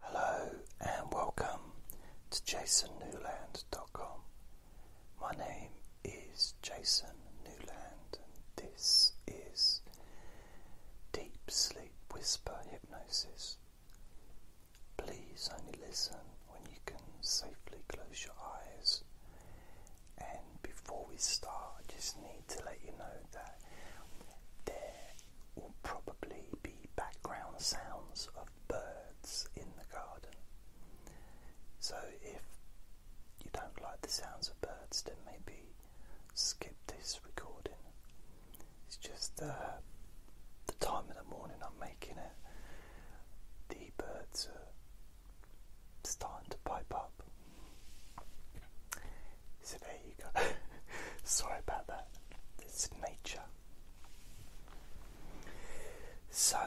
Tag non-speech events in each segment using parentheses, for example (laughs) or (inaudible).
Hello and welcome to jasonnewland.com. My name is Jason Newland and this is Deep Sleep Whisper Hypnosis. Please only listen when you can safely close your eyes. And before we start, I just need to let you know that will probably be background sounds of birds in the garden. So if you don't like the sounds of birds, then maybe skip this recording. It's just uh, the time of the morning I'm making it. The birds are starting to pipe up. So there you go. (laughs) Sorry about that. It's nature. So,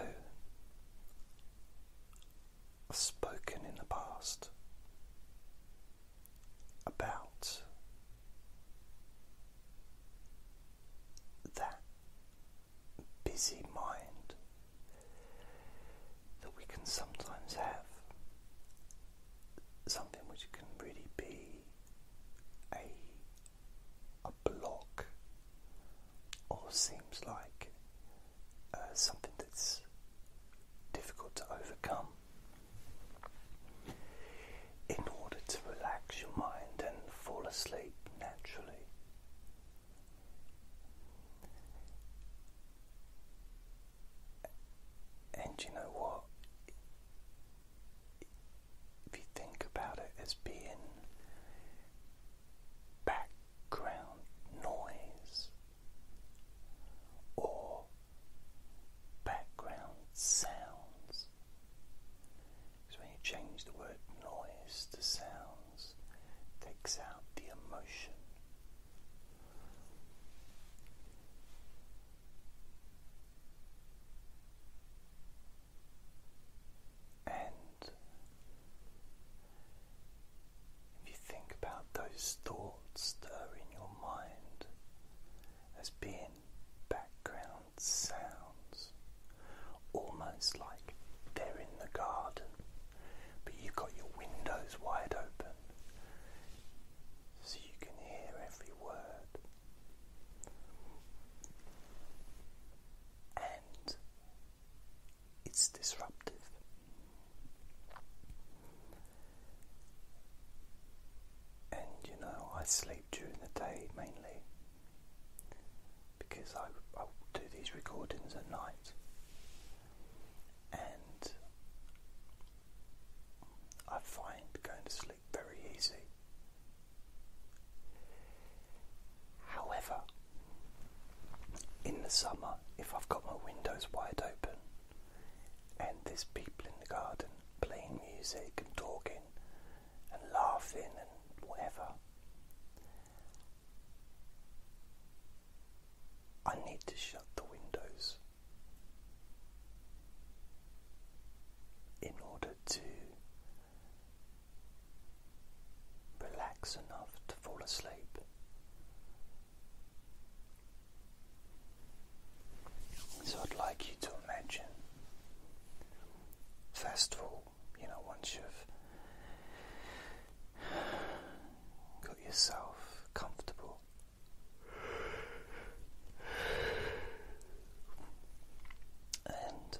I've spoken in the past about that busy mind that we can sometimes have something which can really be a a block or seems like uh, something that's difficult to overcome in order to relax your mind and fall asleep naturally and you know what? If you think about it as being background noise or background sounds, because when you change the word noise to sounds, takes out the emotion. And if you think about those thoughts that are in your mind as being background sounds, almost like they're in the garden, but you've got your windows wide open so you can hear every word. And it's disruptive. And you know, I sleep during the day mainly because I, do these recordings at night. And I find going to sleep very easy. However, in the summer, if I've got my windows wide open and there's people in the garden playing music and talking and laughing and whatever, I need to shut the windows in order to relax enough to fall asleep. So I'd like you to imagine, first of all, you know, once you've got yourself comfortable and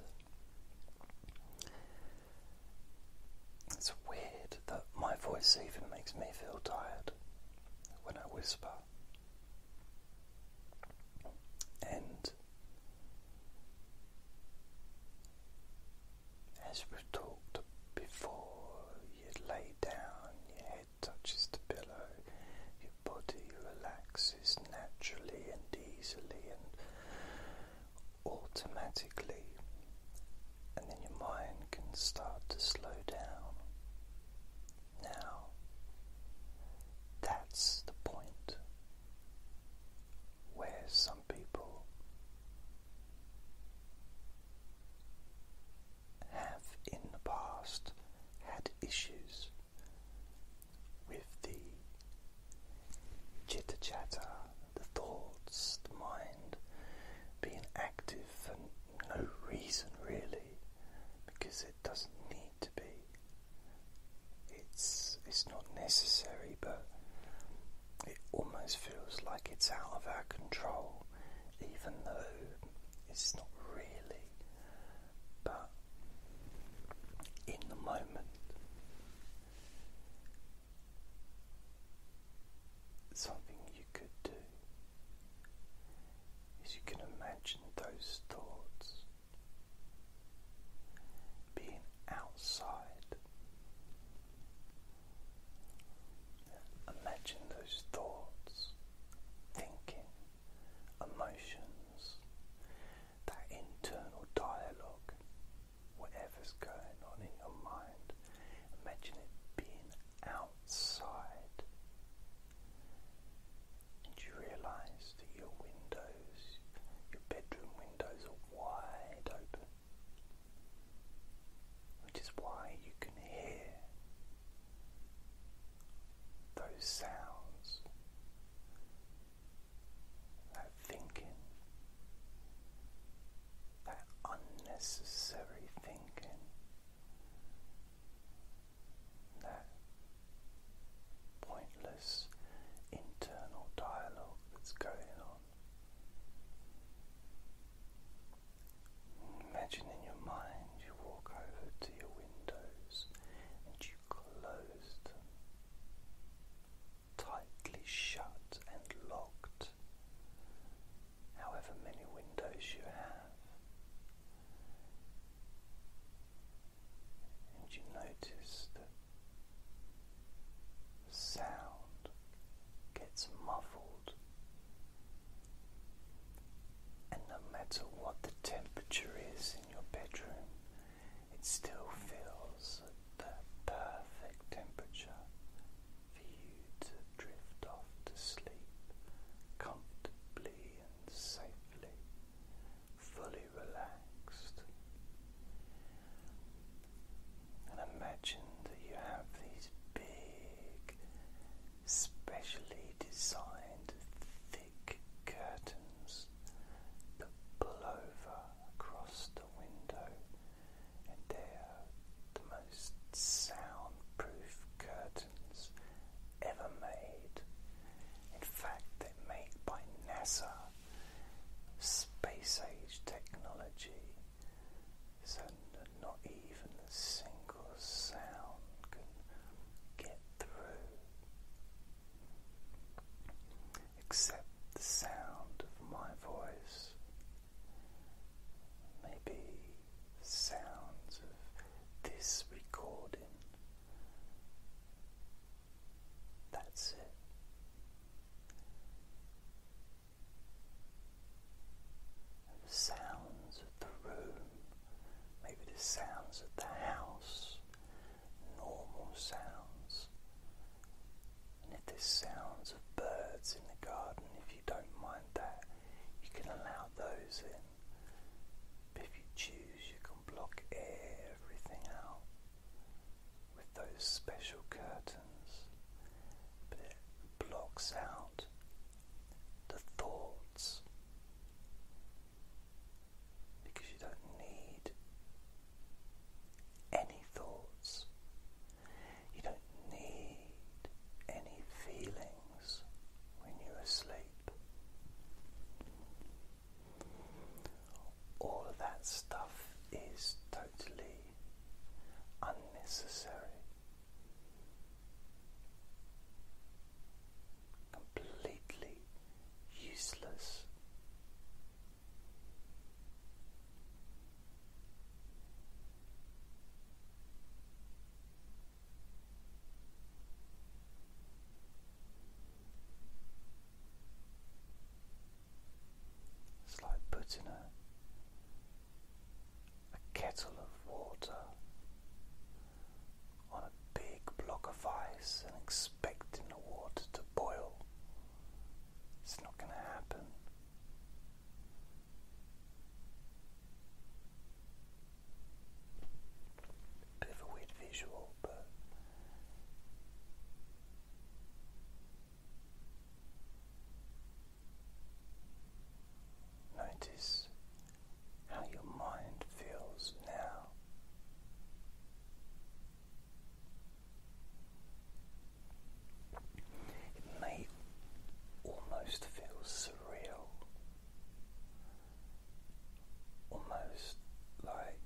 it's weird that my voice even makes me feel tired when I whisper. And as we talked before, you lay down, your head touches the pillow, your body relaxes naturally and easily and automatically, and then your mind can start to slow down. Now, that's the point where some people have in the past had issues with the chitter chatter, the thoughts, the mind being active for no reason really, because it doesn't need to be. It's it's not necessary, but it almost feels like it's out of our control even though it's not really, but in the moment. Something you could do is you can imagine those thoughts being outside Imagine those thoughts, thinking, emotions, that internal dialogue, whatever's going on in your mind. Imagine it being outside. And you realize that your windows, your bedroom windows, are wide open which is why you can hear those sounds, that thinking, that unnecessary thinking, that pointless internal dialogue that's going on. Imagine in your mind you walk over to your windows and you close tightly shut and locked, however many windows you have. And you notice sound gets muffled, and no matter what the temperature is in your bedroom, it still feels at perfect temperature for you to drift off to sleep comfortably and safely, fully relaxed. And imagine that you have these big, specially designed, thick curtains that pull over across the window, and they are the most soundproof curtains ever made. In fact, they're made by NASA, space age technology so not even a single sound can get through except the sound of my voice. Maybe sounds of this recording. That's it the sounds of the room, maybe the sounds of the house, normal sounds. And if there's sounds of birds in the garden, if you don't mind that, you can allow those in. But if you choose, you can block everything out with those special curtains, but it blocks out the thoughts because you don't need any thoughts, you don't need any feelings when you're asleep all of that stuff is totally unnecessary. Completely useless. It's like putting a, kettle of water on a big block of ice and expecting the water to boil. It's not going to happen. Bit of a weird visual, but Notice how your mind feels now. It may almost feel surreal, almost like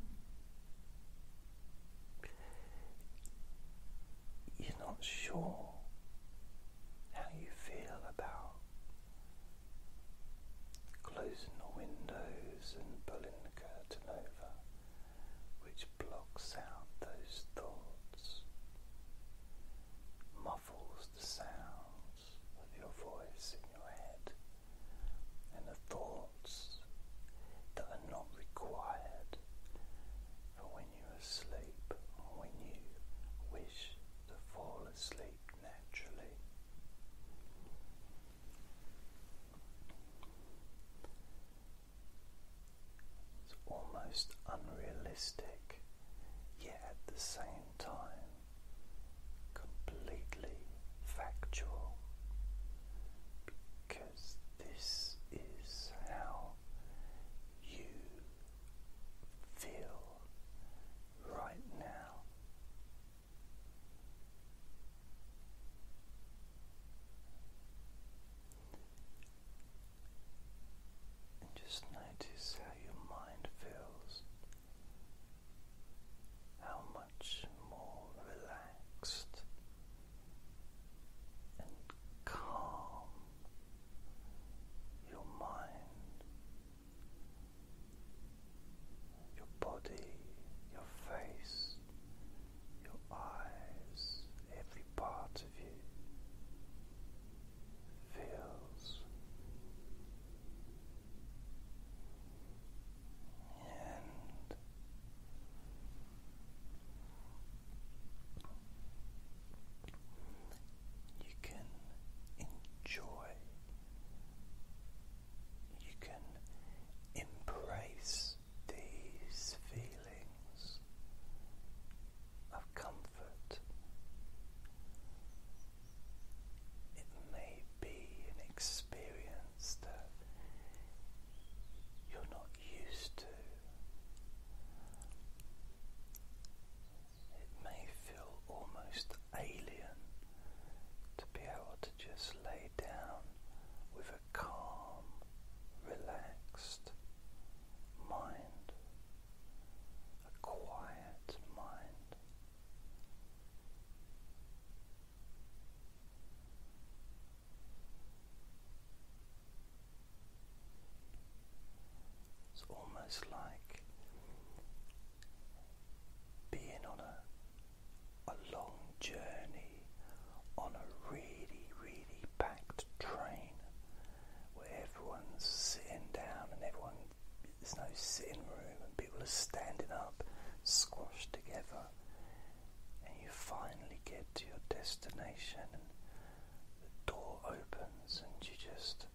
you're not sure how you feel about closing the windows and pulling the curtain over, which blocks out those thoughts, muffles the sounds of your voice in your head, and the thought that are not required for when you are asleep or when you wish to fall asleep naturally. It's almost unrealistic, yet at the same time completely factual because this is how you feel right now. And just notice how your mind feels, how much much more relaxed and calm your mind, your body, your face, your eyes, every part of you feels. And you can enjoy, you can embrace these feelings of comfort. It may be be an experience that you're not used to. It may feel almost alien to be able to just lay down with a calm, relaxed mind, a quiet mind. It's almost like being on a, a long journey on a really, really packed train where everyone's sitting down and everyone, there's no sitting room and people are standing up, squashed together and you finally get to your destination and the door opens and you just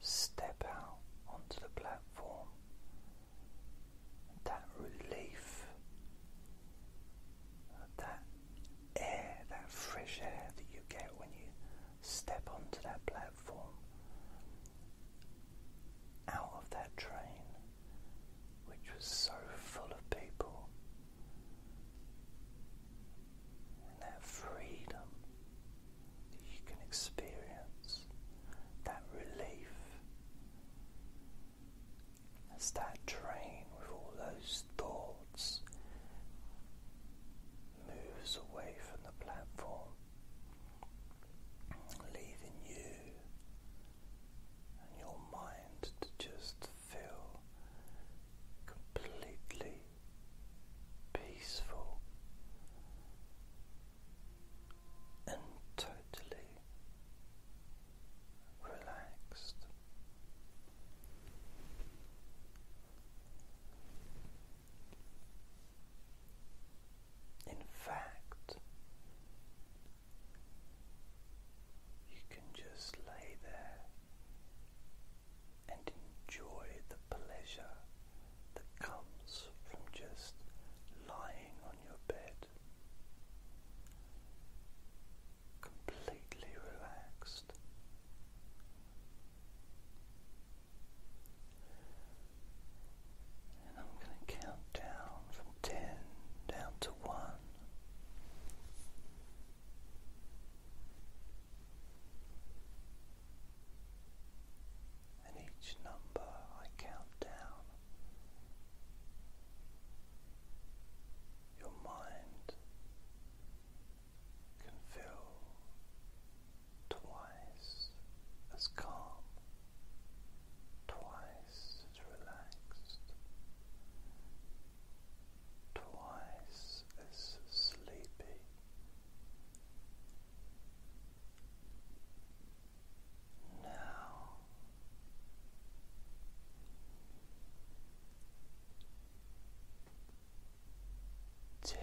step out onto the platform that relief that air that fresh air that you get when you step onto that platform out of that train, which was so full of people, and that freedom you can experience, that relief. As that train with all those thoughts moves away from the platform, leaving you and your mind to just feel completely peaceful and totally relaxed. In fact, you can just lay there and enjoy the pleasure that comes from just lying on your bed, completely relaxed. And I'm going to count down from 10 down to 1. And each number I count down, your mind can fill twice as calm, twice as relaxed, twice as sleepy. Now ten.